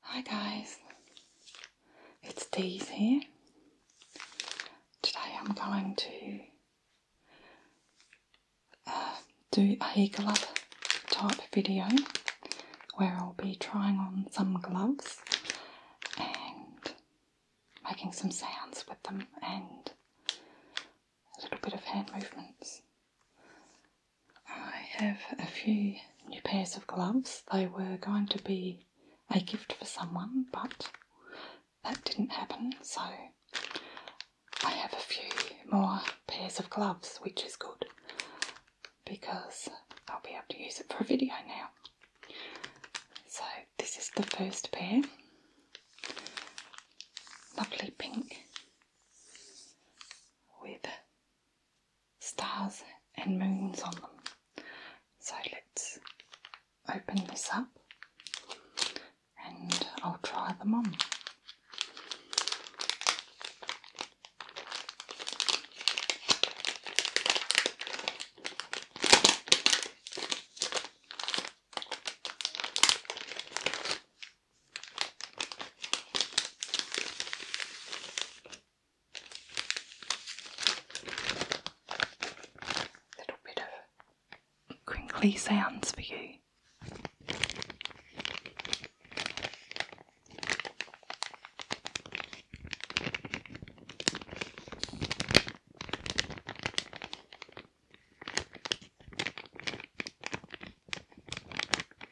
Hi guys, it's Daisy. Today I'm going to uh, do a glove type video where I'll be trying on some gloves and making some sounds with them and a little bit of hand movements. I have a few new pairs of gloves. They were going to be a gift for someone, but that didn't happen, so I have a few more pairs of gloves, which is good because I'll be able to use it for a video now. So, this is the first pair lovely pink with stars and moons on them. So let's open this up and I'll try them on. Little bit of crinkly sounds for you.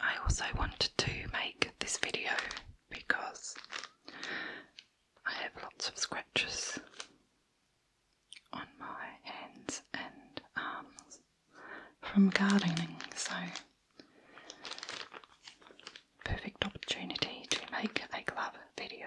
I also wanted to make this video because I have lots of scratches on my hands and arms from gardening, so perfect opportunity to make a glove video.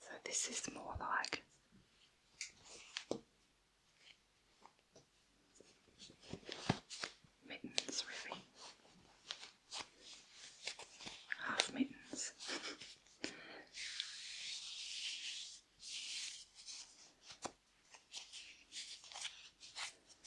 So this is more like mittens, really. Half mittens.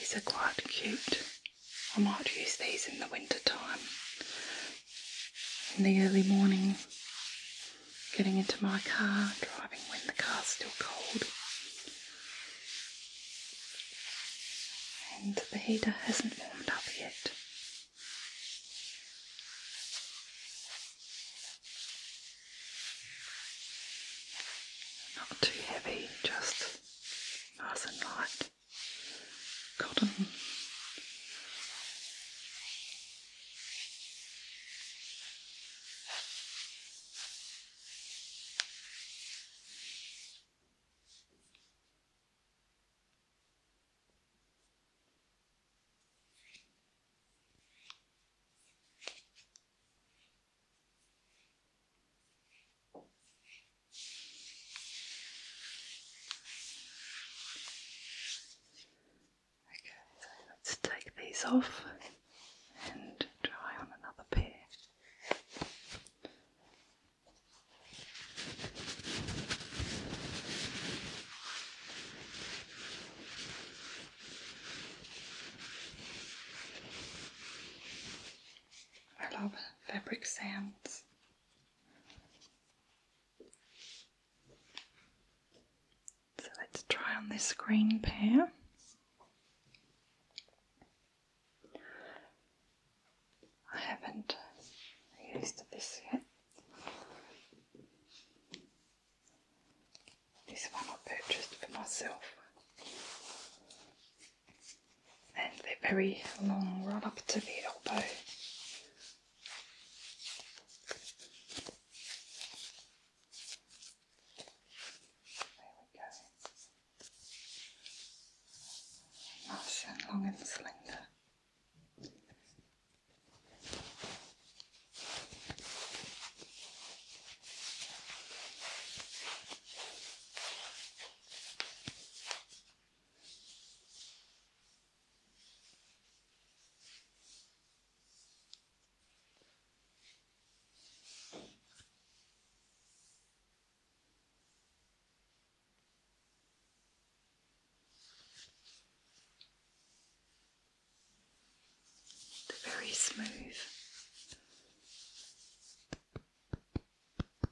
These are quite cute. I might use these in the winter time. In the early morning, getting into my car, driving when the car's still cold. And the heater hasn't warmed up yet. Not too heavy, just nice and light cotton. Okay, so let's take these off and try on another pair. I love fabric sands. So let's try on this green pair. I haven't used this yet. This one I purchased for myself and the very long right up to the elbow. There we go. Nice and long and slender. They're very smooth.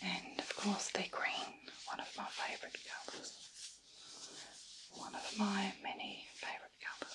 And of course, they're green, one of my favourite colours. One of my many favourite colours.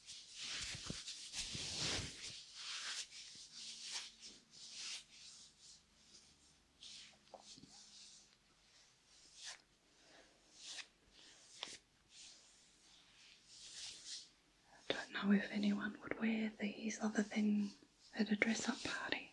I don't know if anyone would wear these other than at a dress up party.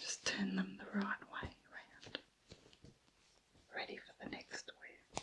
Just turn them the right way round. Ready for the next wheel.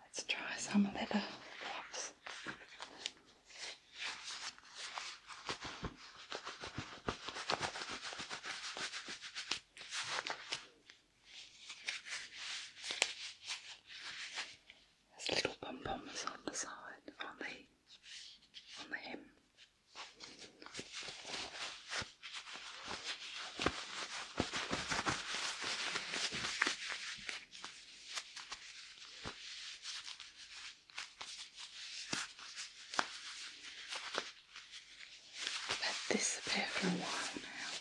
Let's try some leather uh, gloves. There's little pom poms on the side, on the on the hem. i this pair for a while now.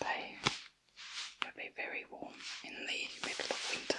They will be very warm in the middle of winter.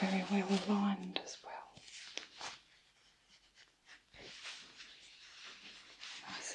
very well aligned as well. Nice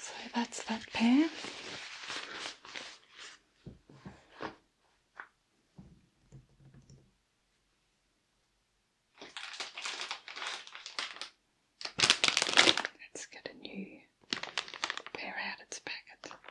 So that's that pair. Let's get a new pair out its packet.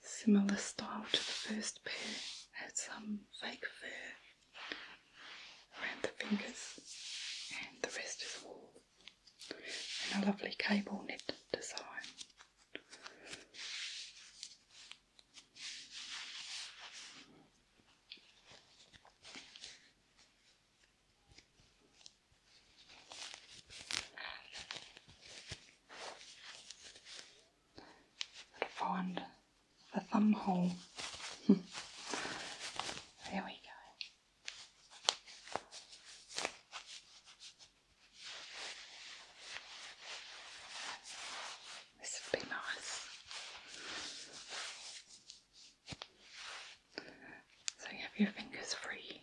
Similar style to the first pair, had some fake fur around the fingers, and the rest is wool, and a lovely cable knit design find the thumb hole. there we go. This would be nice. So you have your fingers free.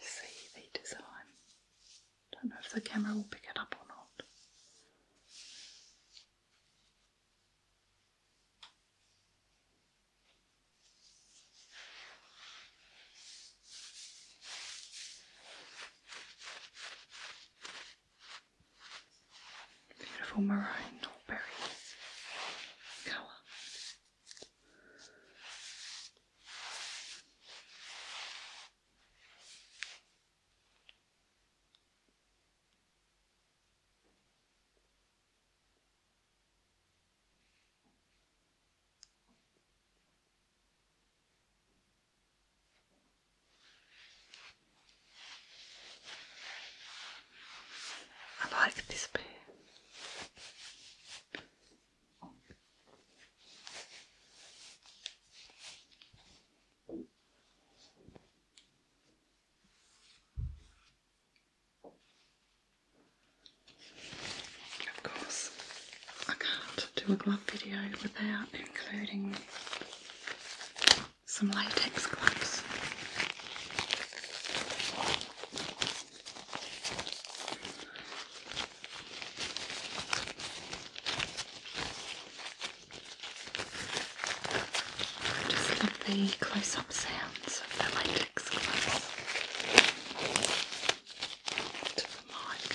You see the design. Don't know if the camera will pick it up or not. Beautiful maroon berry colour. I like this pair. Of course, I can't do a glove video without including some latex gloves. I just love the close-up sounds of the latex gloves to the mic.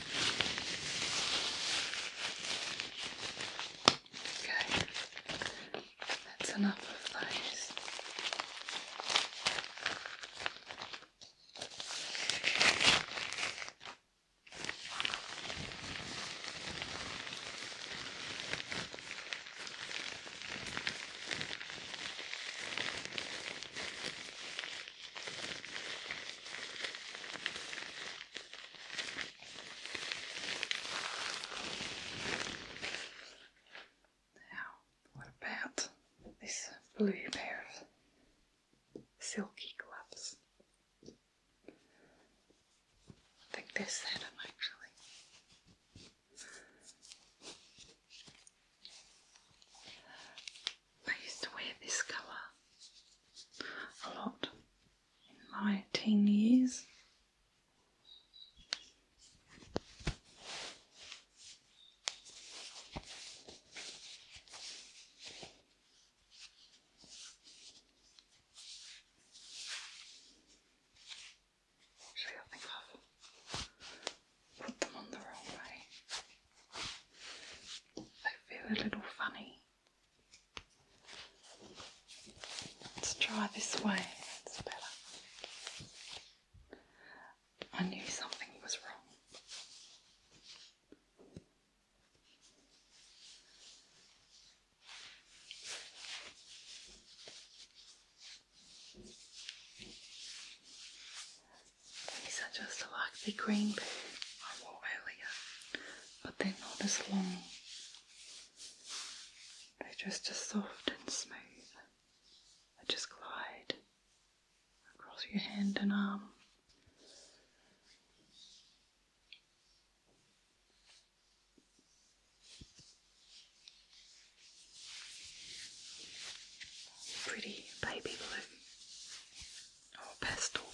Okay, that's enough of those. Now, what about this blue pair of silky gloves? I think they're satin actually. I used to wear this colour a lot in my teen years. Actually, I think i put them on the wrong way. I feel a little funny. Let's try this way, it's I knew something was wrong. These are just like the green pair I wore earlier, but they're not as long. They're just as soft and smooth. They just glide across your hand and arm. Pretty baby blue or pastel blue.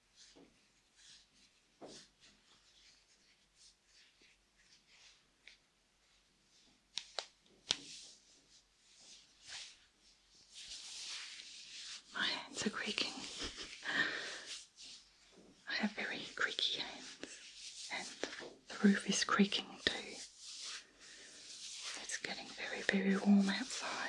My hands are creaking. I have very creaky hands, and the roof is creaking too. It's getting very, very warm outside.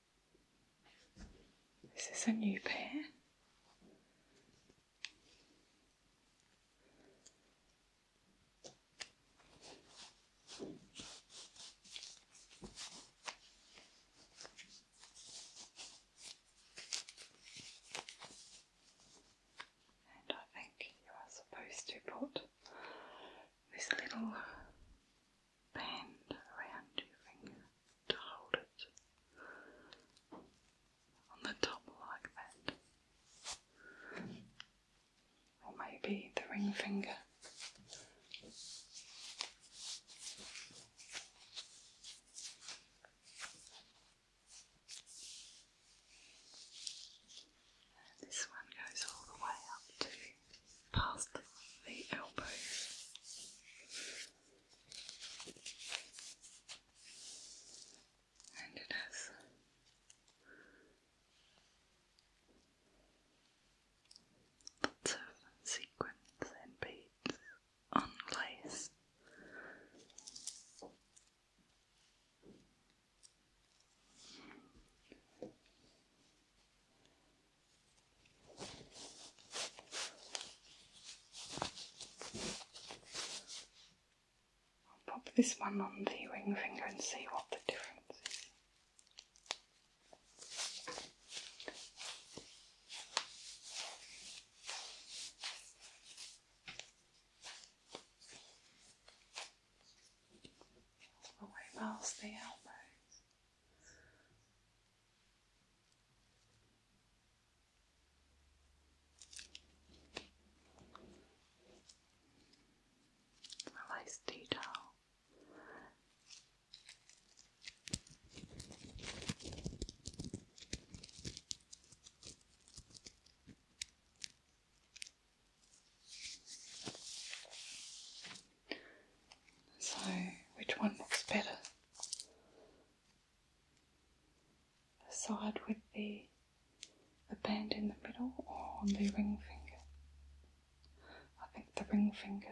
This is a new pair. And I think you are supposed to put this little band around your finger to hold it on the top like that. Or maybe the ring finger. this one goes all the way up to past the elbows. And it has lots of sequins and beads on I'll pop this one on the ring finger and see what the difference is. All past the elbows. A nice detail. So, which one looks better? The side with the, the band in the middle or on the ring finger? I think the ring finger.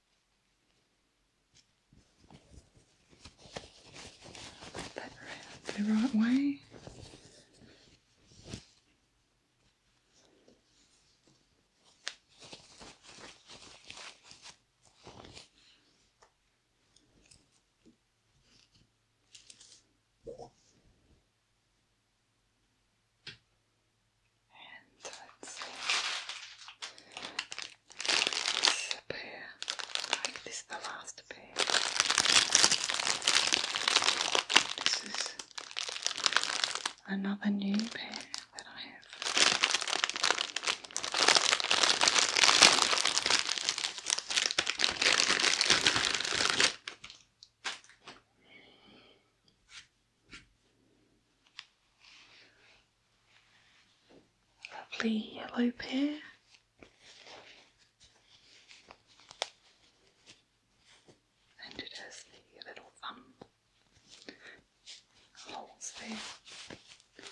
Put that the right way. This pair, like this, the last pair. This is another new pair that I have. Lovely yellow pear. And it has the little thumb holes there. And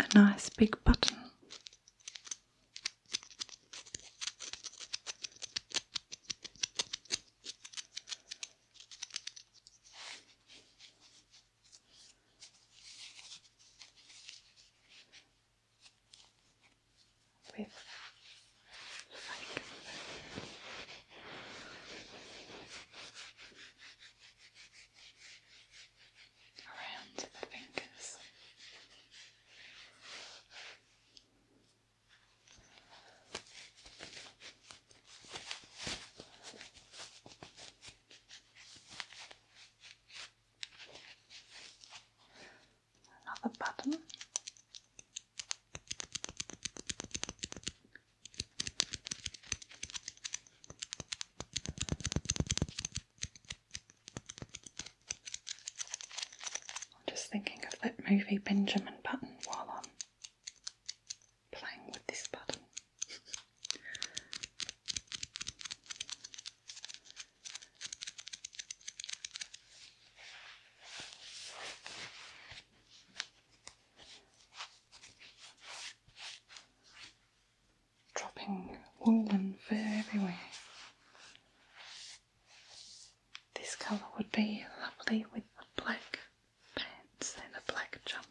a nice big button around the fingers. Another button. I'm just thinking of that movie Benjamin Button while I'm playing with this button dropping wool and fur everywhere. This colour would be lovely with black pants and a black jumper.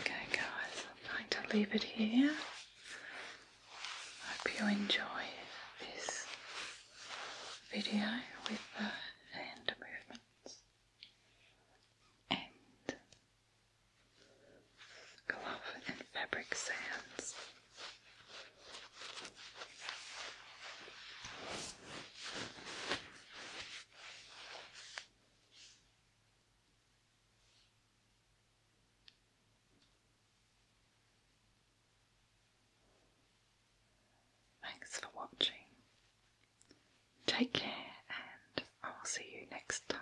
Okay, guys, I'm going to leave it here. Hope you enjoyed this video with the hand movements and glove and fabric sands. Thanks for watching. Take care, and I will see you next time.